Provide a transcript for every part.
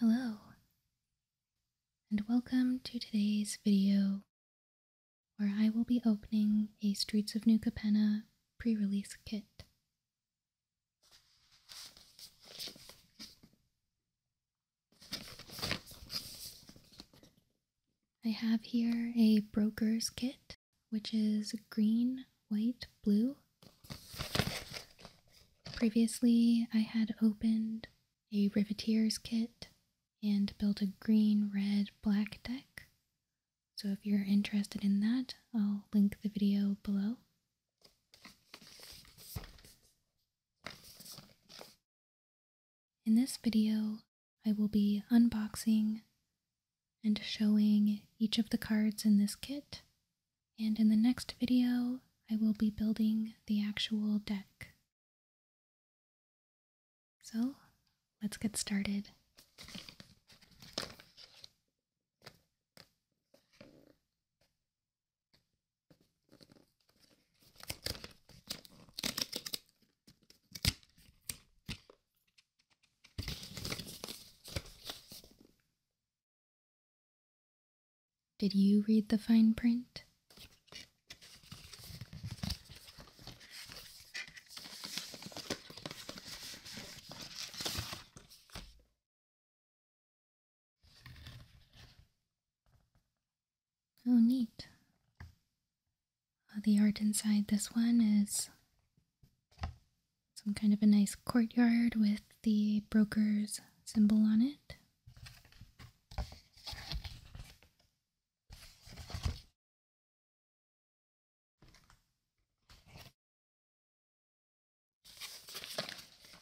Hello, and welcome to today's video where I will be opening a Streets of New Capenna pre-release kit. I have here a broker's kit, which is green, white, blue. Previously, I had opened a riveter's kit and built a green, red, black deck. So if you're interested in that, I'll link the video below. In this video, I will be unboxing and showing each of the cards in this kit, and in the next video, I will be building the actual deck. So, let's get started. Did you read the fine print? Oh, neat. Uh, the art inside this one is some kind of a nice courtyard with the broker's symbol on it.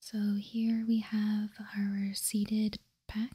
So here we have our seeded pack.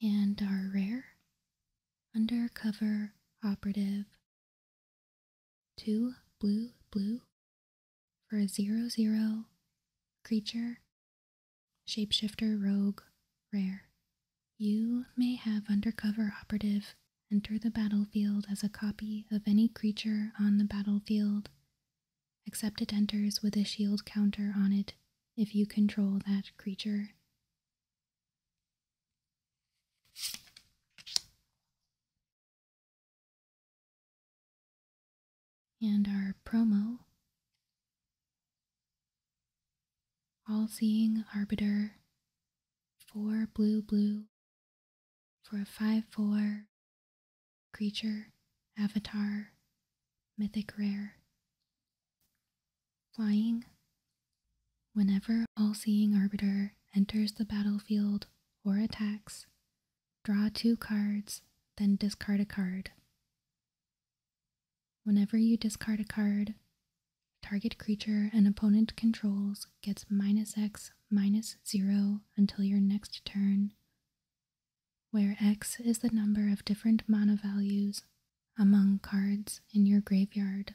and our rare undercover operative two blue blue for a zero zero creature Shapeshifter Rogue Rare. You may have undercover operative enter the battlefield as a copy of any creature on the battlefield, except it enters with a shield counter on it if you control that creature and our promo All Seeing Arbiter 4 blue blue for a 5 4 creature avatar mythic rare flying whenever all seeing arbiter enters the battlefield or attacks draw two cards then discard a card Whenever you discard a card, target creature an opponent controls gets minus x minus 0 until your next turn, where x is the number of different mana values among cards in your graveyard.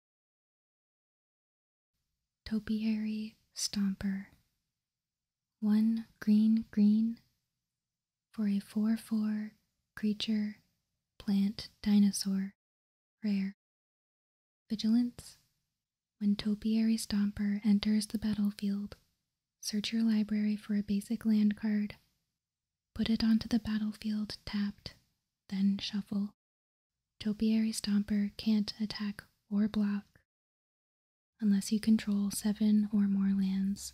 Topiary Stomper. One green green for a 4 4 creature plant dinosaur. Rare. Vigilance. When Topiary Stomper enters the battlefield, search your library for a basic land card, put it onto the battlefield tapped, then shuffle. Topiary Stomper can't attack or block unless you control seven or more lands.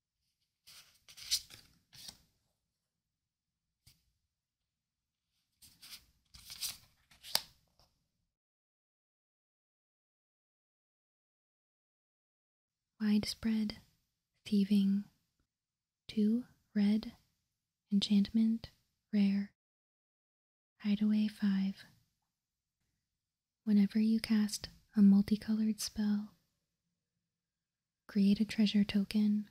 Widespread thieving. 2. Red. Enchantment. Rare. Hideaway 5. Whenever you cast a multicolored spell, create a treasure token.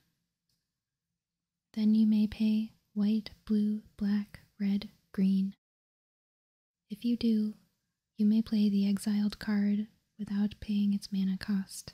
Then you may pay white, blue, black, red, green. If you do, you may play the exiled card without paying its mana cost.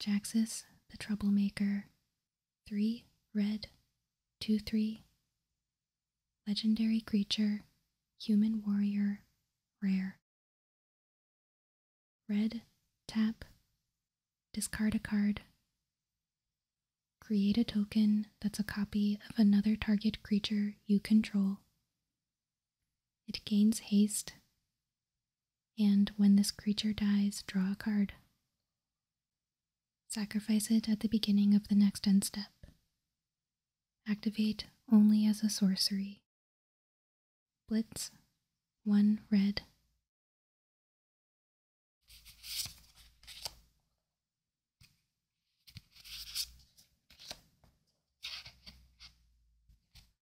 Jaxus, the troublemaker. Three red, two three. Legendary creature, human warrior, rare. Red, tap, discard a card. Create a token that's a copy of another target creature you control. It gains haste. And when this creature dies, draw a card. Sacrifice it at the beginning of the next end step. Activate only as a sorcery. Blitz, one red.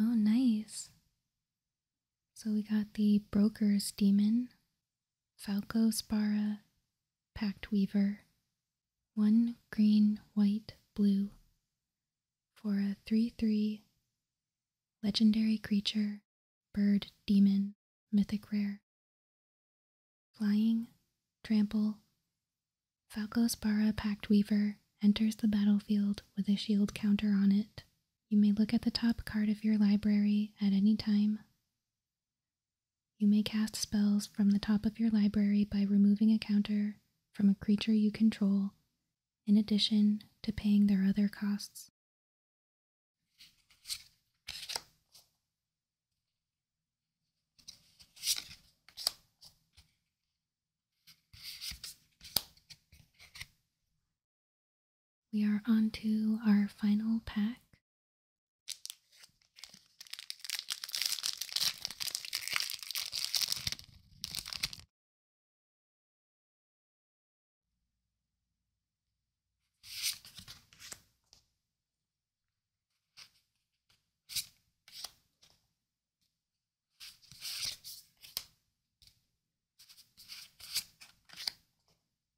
Oh, nice. So we got the Broker's Demon, Falco Spara, Pact Weaver, one green, white, blue, for a 3 3 legendary creature, bird, demon, mythic rare. Flying, trample, Falco Spara Pact Weaver enters the battlefield with a shield counter on it you may look at the top card of your library at any time. You may cast spells from the top of your library by removing a counter from a creature you control, in addition to paying their other costs. We are on to our final pack.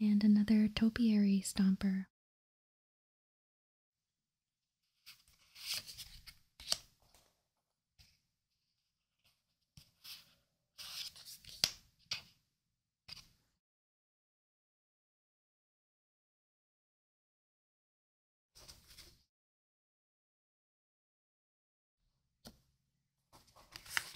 and another topiary stomper.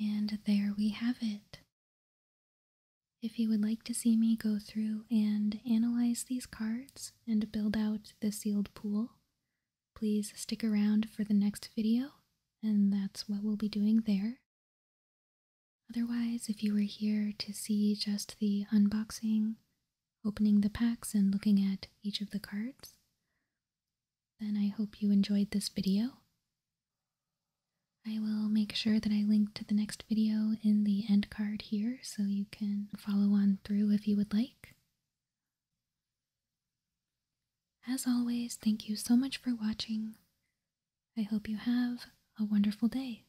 And there we have it. If you would like to see me go through and analyze these cards and build out the sealed pool, please stick around for the next video, and that's what we'll be doing there. Otherwise, if you were here to see just the unboxing, opening the packs and looking at each of the cards, then I hope you enjoyed this video, I will make sure that I link to the next video in the end card here so you can follow on through if you would like. As always, thank you so much for watching. I hope you have a wonderful day.